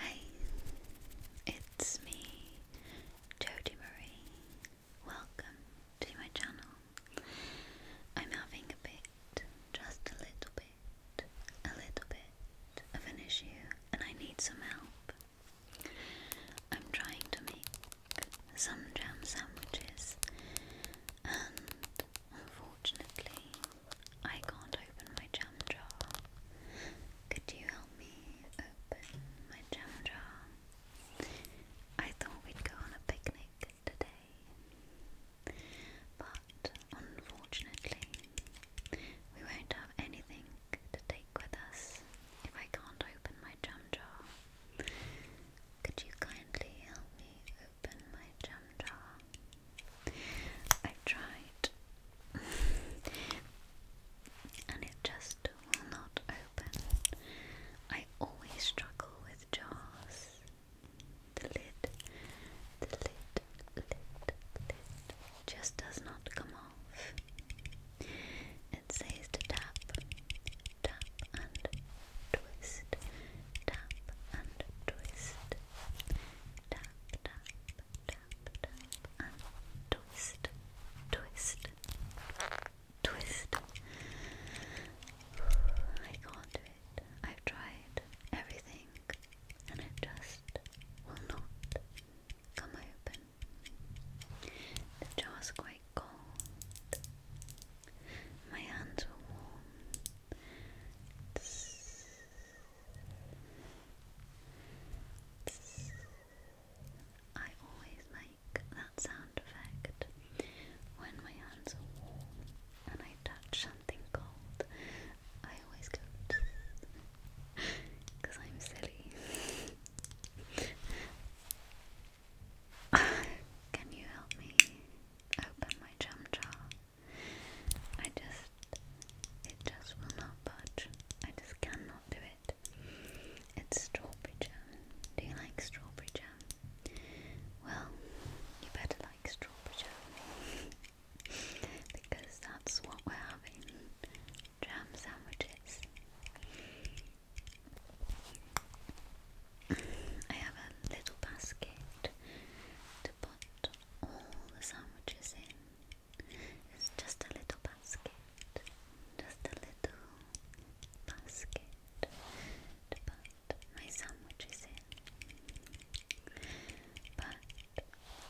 Hi, it's me, Jodie Marie. Welcome to my channel. I'm having a bit, just a little bit, a little bit of an issue, and I need some help. I'm trying to make some jam sandwiches, and unfortunately, I can't open my jam jar. Could you help me open my jam jar? I thought we'd go on a picnic today, but unfortunately, we won't have anything to take with us if I can't open my jam jar. Could you kindly help me open my jam jar? I tried and it just will not open. I always struggle with jars. The lid, the lid, lid, lid just does not come off. It says to tap, tap and twist, tap and twist, twist, twist, twist. I can't do it. I've tried everything and it just will not come open. The jar's quite cold. My hands were warm I always make that sound effect when my hands are warm and I touch something cold. I always go I'm silly. Can you help me open my jam I just, it just will not budge. I just cannot do it. It's strawberry jam. Do you like strawberry jam? Well, you better like strawberry jam because that's what we're having jam sandwiches. I have a little basket to put all the sandwiches in. It's just a little basket, just a little basket to put my sandwiches in. But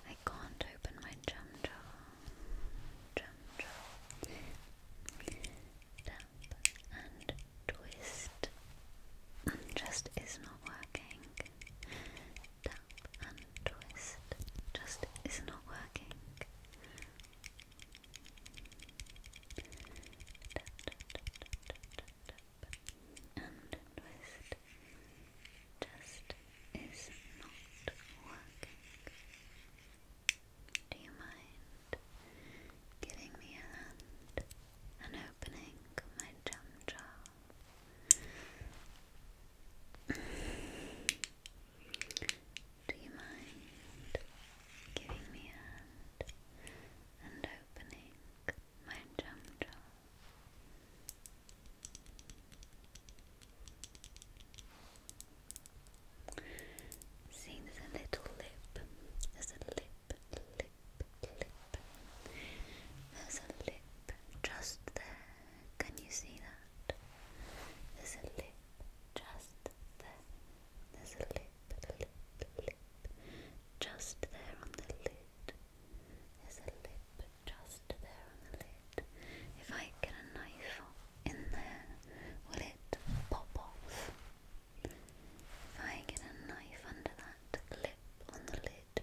I can't open my jam jar and twist just is not working. Tap and twist just is not working. and twist just is not working. Do you mind giving me a hand? I know opening my jam jar. Do you mind giving me a hand and opening my jam Seeing there's a little lip, there's a lip lip, lip. There's a lip just there. Can you see that? There's a lip just there. There's a lip, lip, lip. Just there on the lid. There's a lip just there on the lid. If I get a knife in there, will it pop off? If I get a knife under that clip on the lid,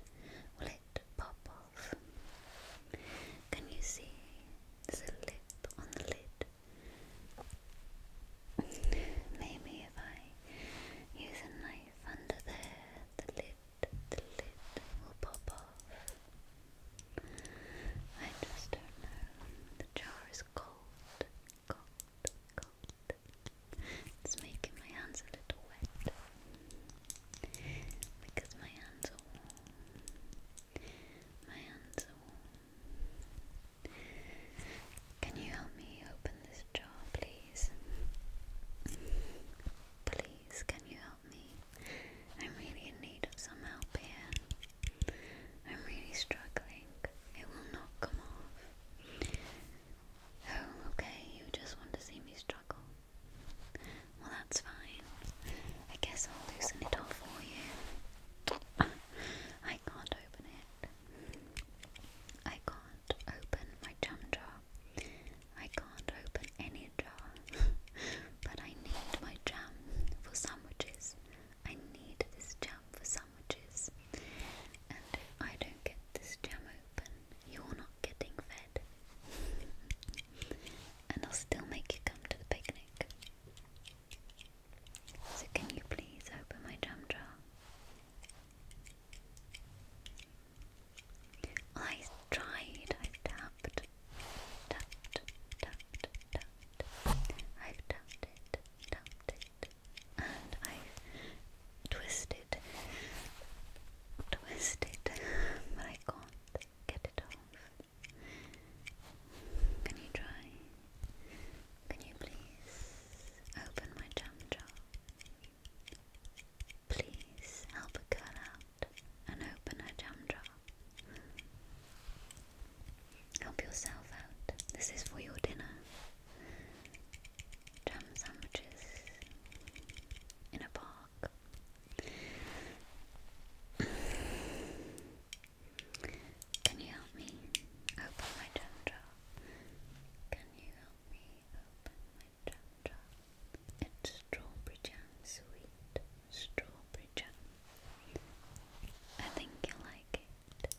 will it pop off? Can you see? There's a lip on the lid. Maybe if I use a knife under there, the lid, the lid will pop off. I just don't know. The jar is cold, cold, cold. It's making my hands a little wet because my hands are warm. My hands are warm. Can you help me open this jar, please? Please, can you help me? I'm really in need of some help here. I'm really struggling. It will not come off. Oh, okay, you just want to see me struggle. Well, that's fine. I guess I'll loosen it off for you. I can't open it. I can't open my jam jar. I can't open any jar. but I need my jam for sandwiches. I need this jam for sandwiches. And if I don't get this jam open, you're not getting fed. and I'll still make you come to the picnic. So, can you please open my jam jar? I tried, i tapped, tapped, tapped, tapped, I've tapped it, tapped it and I twisted, twisted, but I can't get it off. Can you try? Can you please open my jam jar? Please help a girl out and open her jam jar. Help yourself out. This is for your dinner. Jam sandwiches in a park. Can you help me open my jam jar? Can you help me open my jam jar? It's strawberry jam, sweet strawberry I think you'll like it.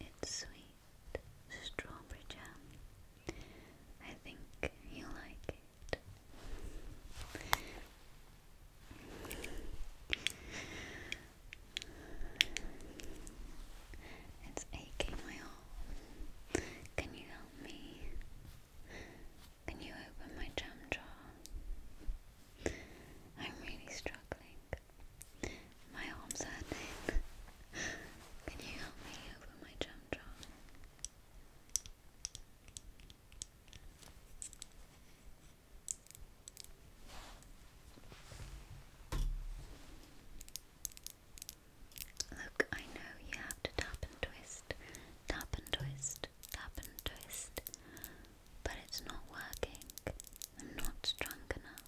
It's sweet strawberry jam. I think you like it. It's aching my arm. Can you help me? Can you open my jam jar? I'm really struggling. My arms hurt. Can you help me over my jump jar? Look, I know you have to tap and twist, tap and twist, tap and twist but it's not working. I'm not strong enough.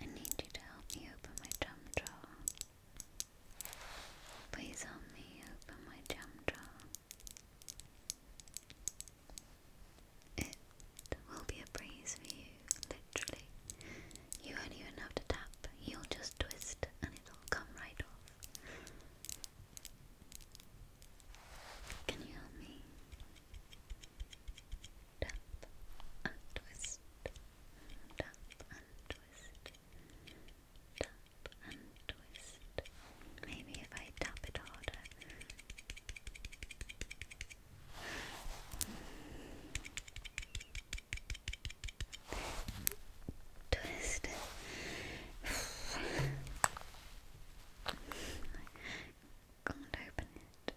I need you to help me open my jam jar. Please help me open my jam jar. It will be a breeze for you, literally. You will even have to tap, you'll just twist and it'll come right off. Can you help me? Tap and twist. Tap and twist. Tap and twist. Maybe if I tap it harder twist. can't open it.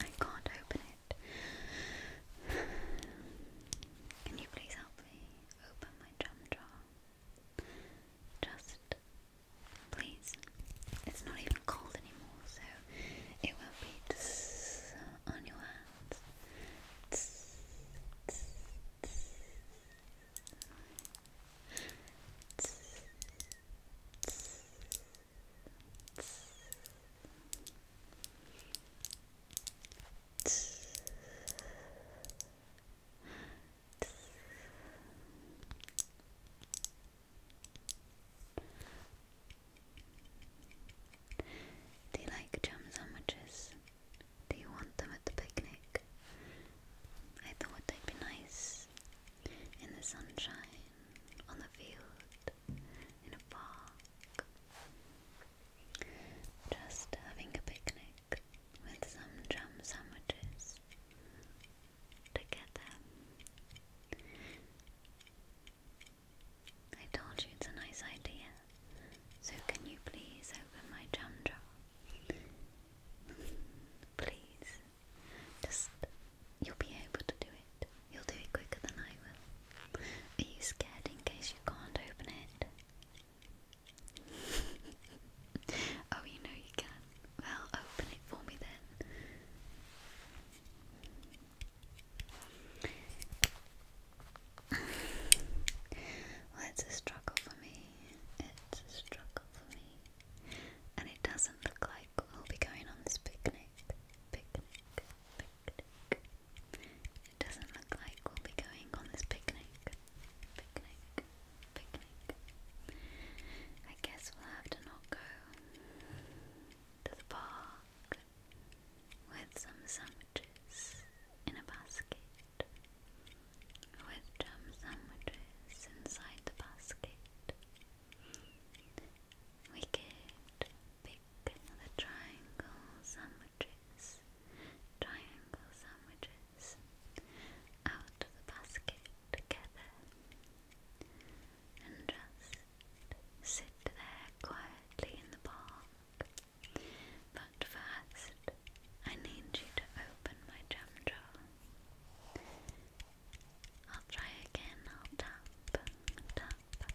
I can't open it. Can you please help me open my jam jar? Just please. It's not even cold anymore, so it will be on your hands. Do you like jam sandwiches? Do you want them at the picnic? I thought they'd be nice in the sunshine, on the field, in a park. Just having a picnic with some jam sandwiches together. I told you it's a nice idea. So can you please open my jam jar? please. Just you'll be able to do it. You'll do it quicker than I will. Are you scared in case you can't open it? oh, you know you can. Well, open it for me then well, it's a struggle for me. It's a struggle for me. And it doesn't look like we'll be going on this picnic. Picnic. Picnic. It doesn't look like we'll be going on this picnic. Picnic. Picnic. I guess we'll have to not go to the park with some sandwiches in a basket with jam sandwiches inside the basket. We could pick the triangle sandwiches, triangle sandwiches out of the basket together and just sit there quietly in the park but first, I need you to open my jam I'll try again. I'll tap, tap, tap, tap,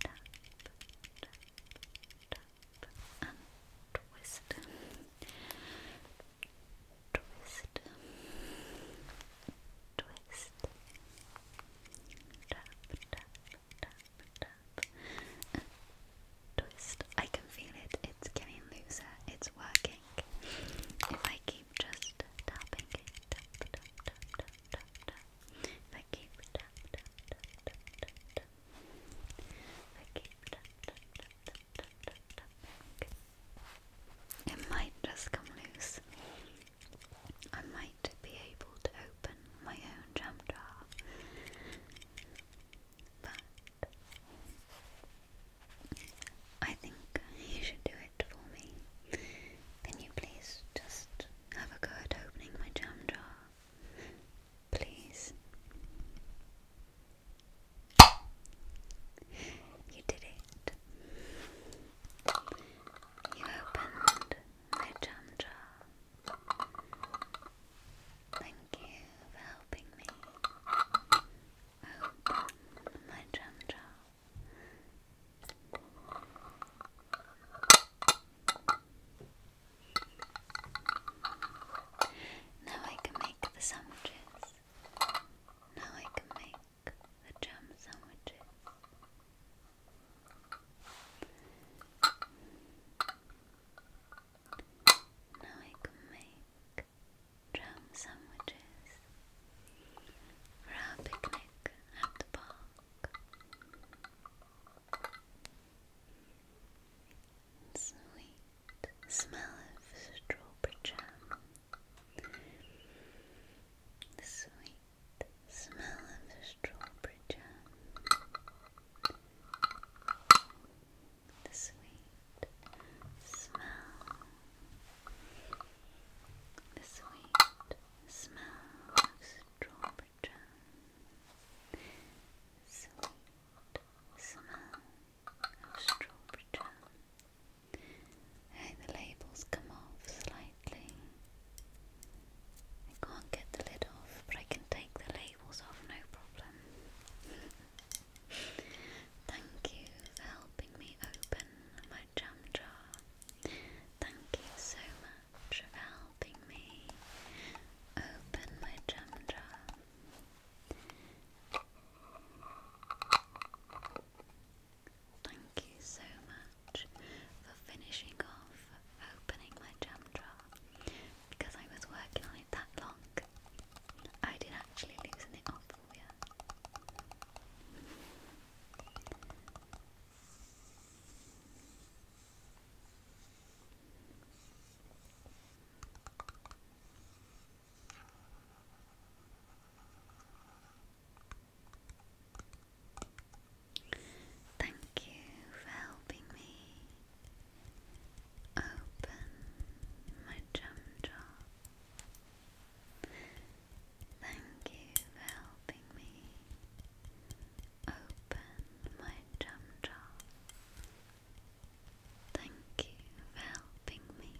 tap, and twist, twist, twist, tap, tap, twist. I can feel it, it's getting looser, it's working. If I keep just tapping If I keep If I keep It might just come loose. I might be able to open my own jam jar, but I think you should do it for me. Can you please just have a go at opening my jam jar? Please. You did it. You opened Lichandra. Thank you for helping me open oh, my jam jar. Now I can make the sandwiches. Now I can make the jam sandwiches. Now I can make drum sandwiches for our picnic at the park. Sweet smell of strawberry jam. The sweet the smell of the strawberry jam. The sweet smell. The sweet smell of strawberry jam. Sweet smell of strawberry jam. Hey, the labels come off slightly. I can't get the lid off, but I can take the labels off no problem. Thank you for helping me open my jam jar. Thank you so much for helping me open my jam jar. Thank you so much for finishing off opening my jam jar because I was working on it that long. I did actually loosen it up for you. Thank you for helping me open my jam jar. Thank you for helping me open my jam jar. Thank you for helping me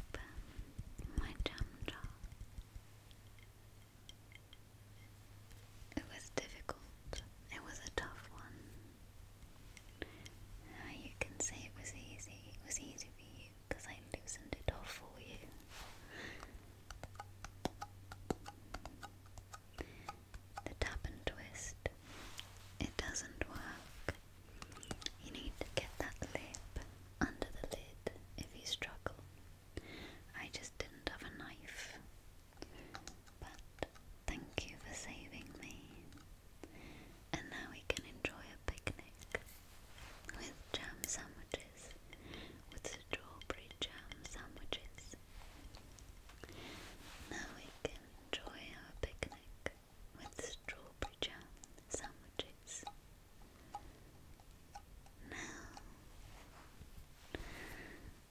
open my jam jar. It was difficult. It was a tough one. you can say it was easy. It was easy for you because I loosened it off for you. The tap and twist. It doesn't work you need to get that lip under the lid if you struggle. I just didn't have a knife. But thank you for saving me. And now we can enjoy a picnic with jam sandwiches, with strawberry jam sandwiches. Now we can enjoy our picnic with strawberry jam sandwiches. Now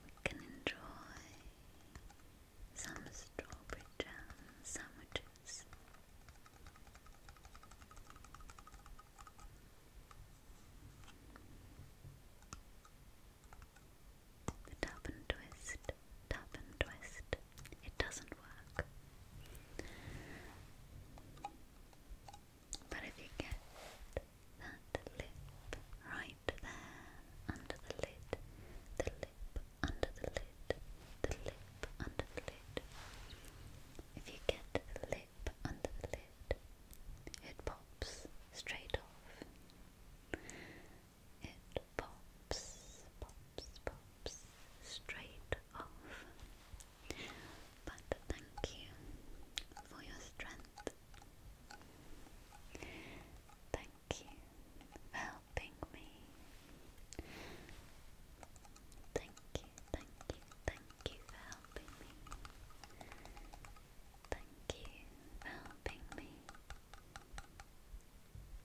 we can enjoy some strawberry jam sandwiches. The tap and twist, tap and twist, it doesn't work. But if you get that lip right there under the lid, the lip under the lid, the lip under the lid, if you get the lip under the lid, it pops straight off. It pops, pops, pops straight off. But thank you for your strength. Thank you for helping me. Thank you, thank you, Thank you for helping me. Thank you for helping me.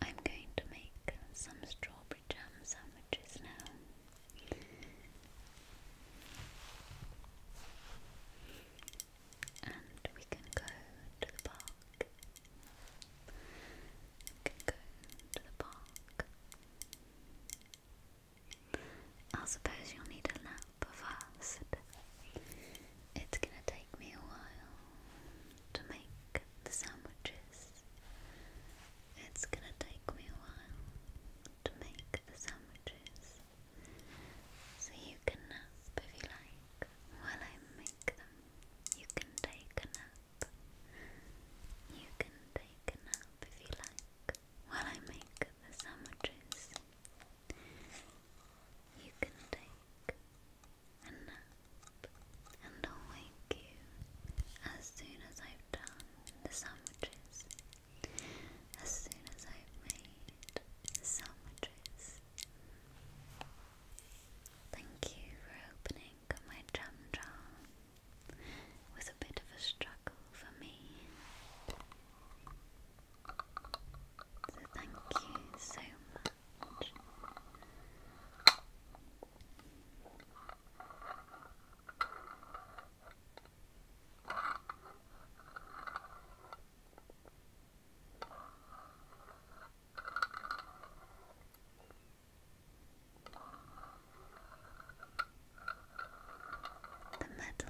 I'm going to make some strawberry jam sandwiches now. And we can go to the park. We can go to the park. I suppose you'll need a nap first. It's gonna take me a while to make the sandwiches. It's gonna take me a while to make the sandwiches, so you can nap if you like while I make them. You can take a nap. You can take a nap if you like while I make the sandwiches. You can take a and I'll wake you as soon as I've done the sandwiches. As soon as I've made the sandwiches. Thank you for opening my jam jar. was a bit of a struggle for me. So thank you so much. The metal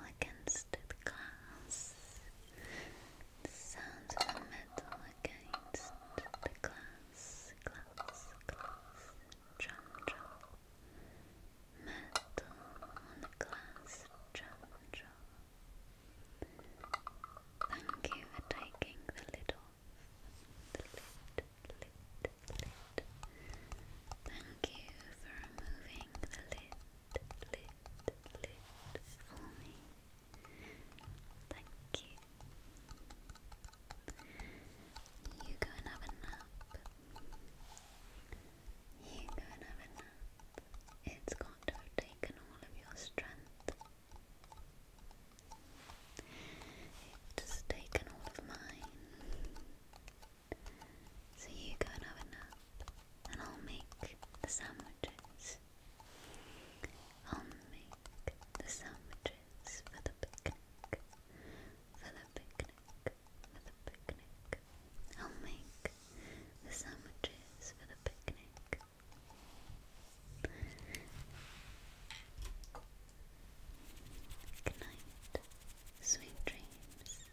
against the glass. The sound of the metal against the glass glass, glass, glass, drum, metal on a glass, drum, drum. Thank you for taking the lid. Thank you for removing the lid, lid, lid for me. Thank you. You go and have a nap. You go and have a nap. It's got taken all of your strength. It's taken all of mine. So you go and have a nap, and I'll make the sandwiches. I'll make the sandwiches for the picnic. For the picnic. For the picnic. I'll make the sandwiches for the picnic. Good night. Sweet dreams.